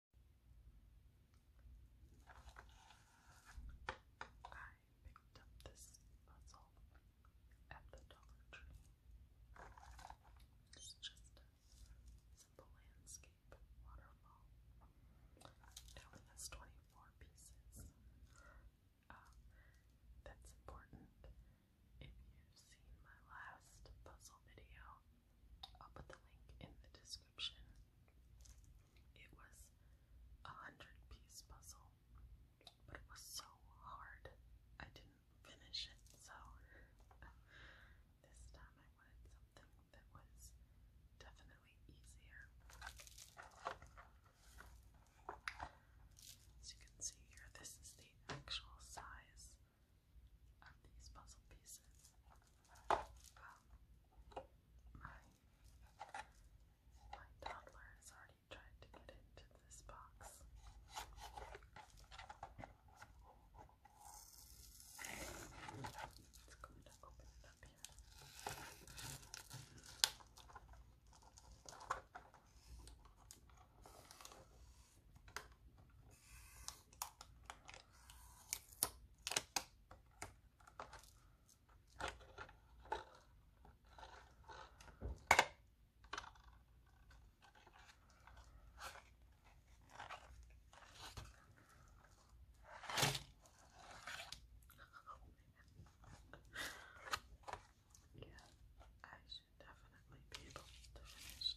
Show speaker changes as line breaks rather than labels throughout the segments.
I picked up this puzzle at the Dollar Tree. It's just a simple landscape waterfall. It has 24 pieces. that's important. If you've seen my last puzzle video, I'll put the link in the description. It was a hundred piece puzzle, but it was so hard I didn't finish it, so this time I wanted something that was definitely easier. As you can see here, this is the actual size of these puzzle pieces. my, toddler has already tried to get into this box. It's going to open it up here. Yeah, I should definitely be able to finish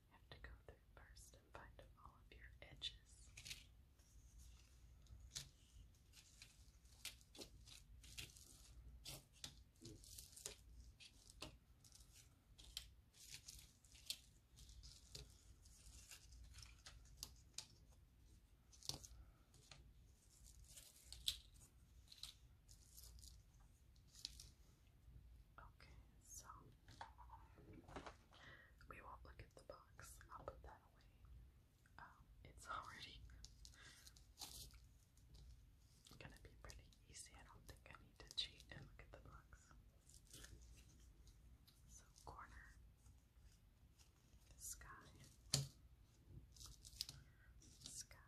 You have to go through first and find all of your edges. Okay, so we won't look at the box. I'll put that away. Um, it's already gonna be pretty easy. I don't think I need to cheat and look at the box. So, corner, sky, sky,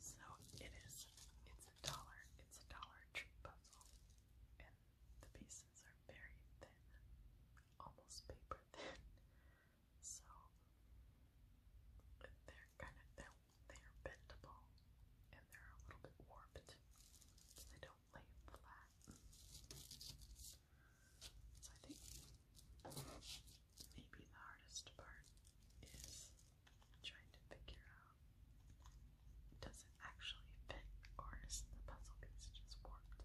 So it is, it's a dollar, it's a dollar tree puzzle, and the pieces are very thin, almost paper thin. So they're kind of, they're, they're bendable, and they're a little bit warped, they don't lay flat. I think maybe the hardest part is trying to figure out does it actually fit or is the puzzle piece just warped?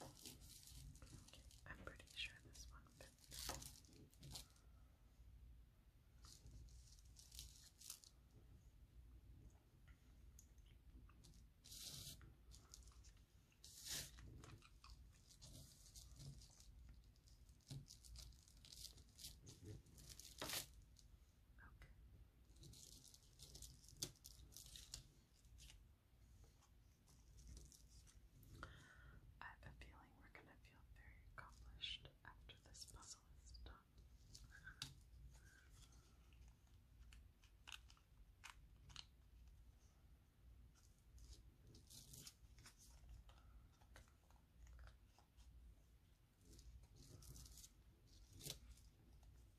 Okay, I'm pretty sure this one fits. Okay. I have a feeling we're going to feel very accomplished after this puzzle is done.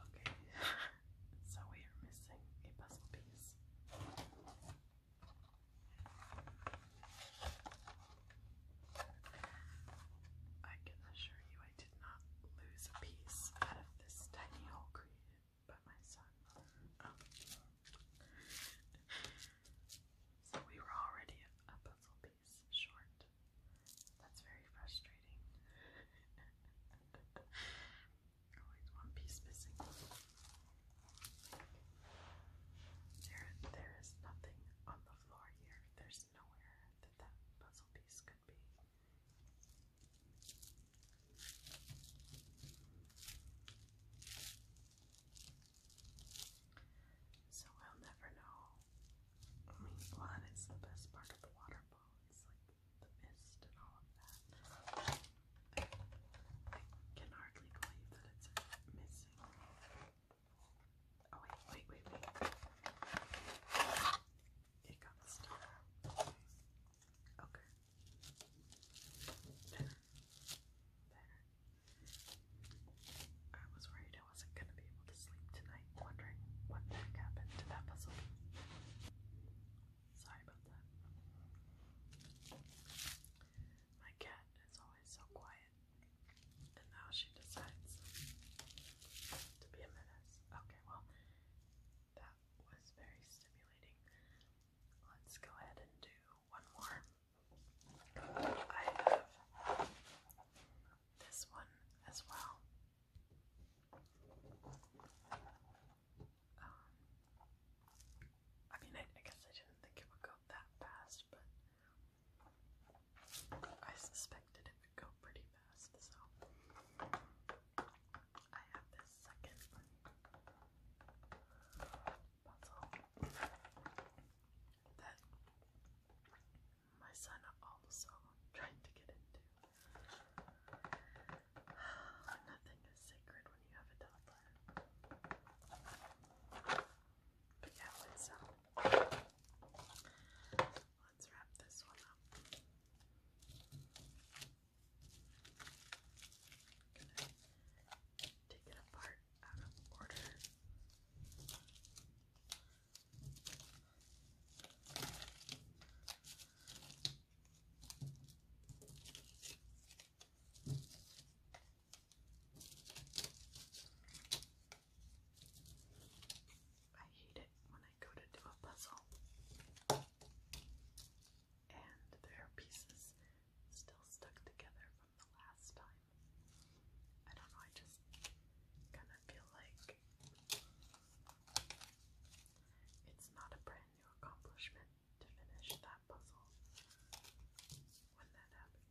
Okay, so we are missing a puzzle piece. I can assure you I did not lose a piece out of this tiny hole created by my son. so we were already a puzzle piece short. That's very frustrating. Always one piece missing. There, there is nothing on the floor here. There's there's nowhere So we'll never know. I mean, well, the best part of the waterfall. It's like the mist and all of that. I can hardly believe that it's missing. Oh wait, wait, wait, wait. It got stuck. Okay. There. There. I was worried I wasn't gonna be able to sleep tonight, wondering what the heck happened to that puzzle. Sorry about that. My cat is always so quiet. And now she decides to be a menace. Okay, well, that was very stimulating. Let's go ahead and do one more. I have this one as well. Um, I mean, I guess I didn't think it would go that fast fast, but I suspected it would go pretty fast, so I have this second puzzle that my son also tried to get into. Nothing is sacred when you have a toddler. But yeah, let's um, Let's wrap this one up. take it apart out of order. I hate it when I go to do a puzzle and there are pieces still stuck together from the last time. I don't know, I just kind of feel like it's not a brand new accomplishment to finish that puzzle when that happens.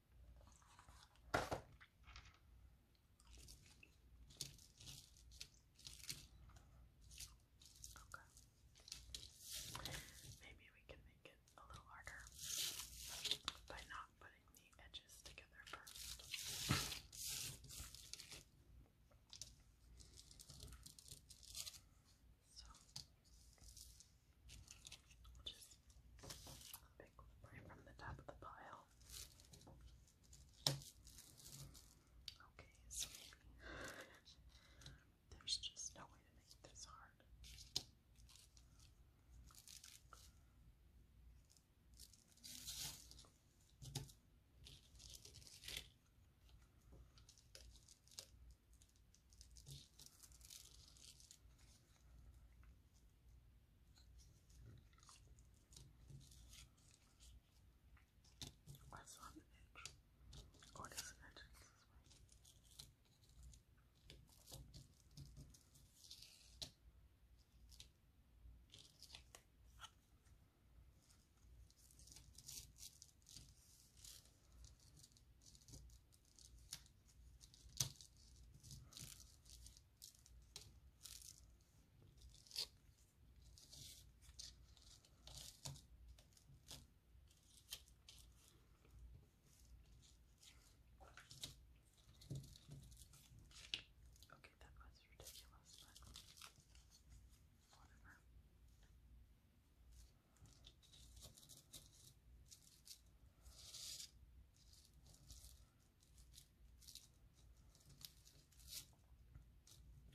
Okay. Maybe we can make it a little harder by not putting the edges together first. So Pick right from the top of the pile. Okay, so there's just no way to make this hard. That's on the edge. Or oh, edge this way. Okay, that was ridiculous, but whatever.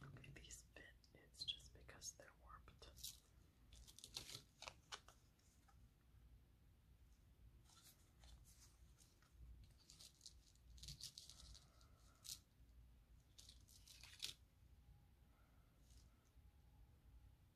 Okay, these fit, it's just because they're warped.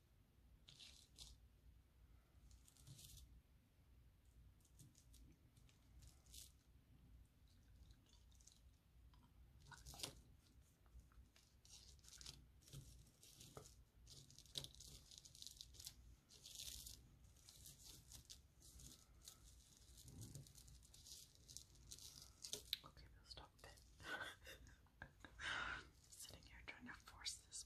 Okay, we'll stop it. Sitting here trying to force this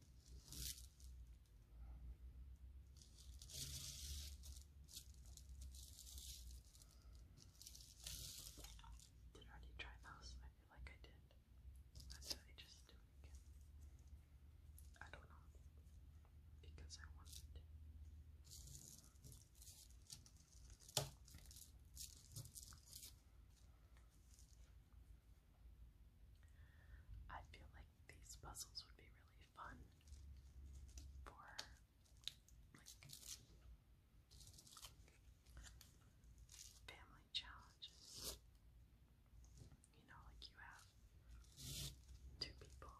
Did I already try those? I feel like I did. Why did I just do it again? I don't know. Because I wanted I feel like these puzzles would be really fun for like family challenges. You know, like you have two people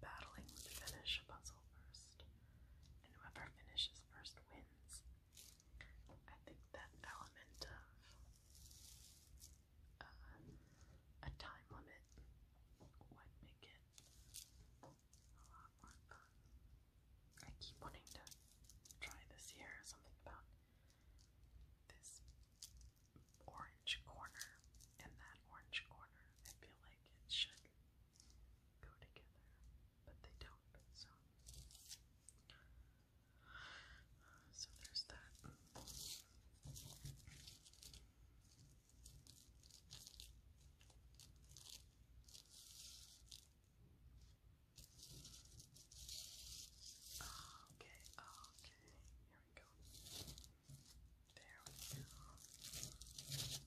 battling to finish a puzzle first, and whoever finishes first wins. I think that element of uh, a time limit would make it a lot more fun. I keep wanting to try this here, something about this orange corner and that orange corner. I feel like it should go together, but they don't, so. So there's that. okay, okay, here we go. There we go. It was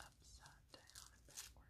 upside down and backwards.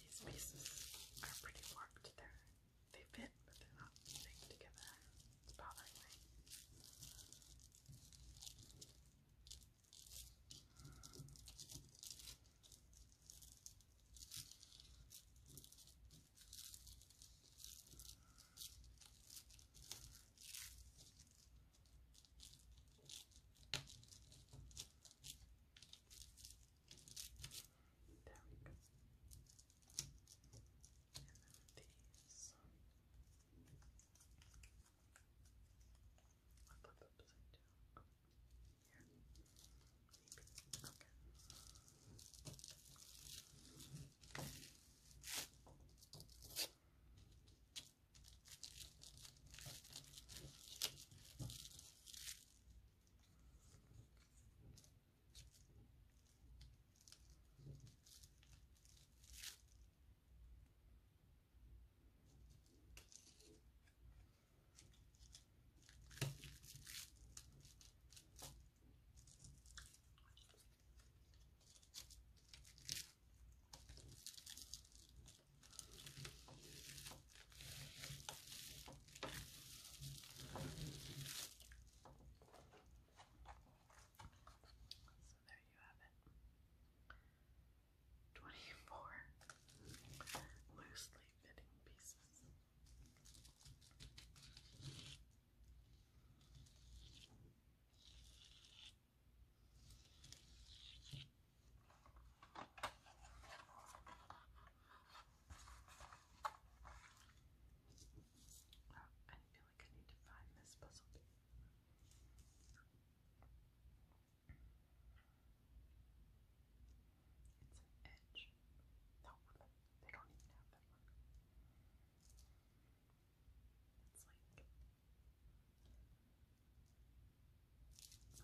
These pieces are pretty warped. They're, they fit, but they're not linked together. It's bothering me. Okay. There we go. And then these. I put them upside down. Okay. Here. Maybe. Okay. Okay. So there you have it. 24 loosely fitting pieces. Oh, I feel like I need to find this puzzle. It's an edge. No, they don't even have that one. It's like,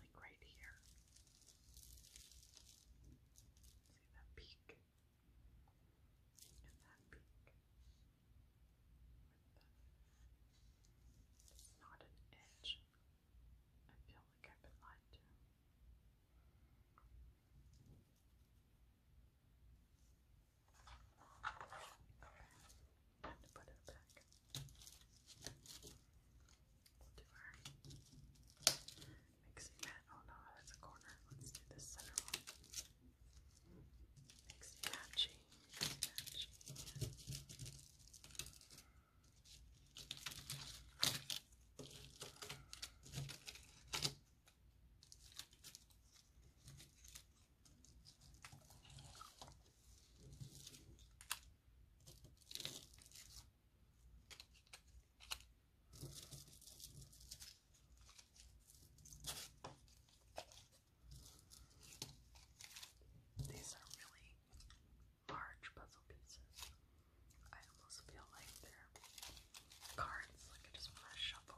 like right here. See that peak? that peak. not an edge. I feel like I've been lied to. Time to put it back. We'll do our mixing Oh no, that's a corner. Let's do this center one. Mixing matchy, these are really large puzzle pieces. I almost feel like they're cards, like I just want to shuffle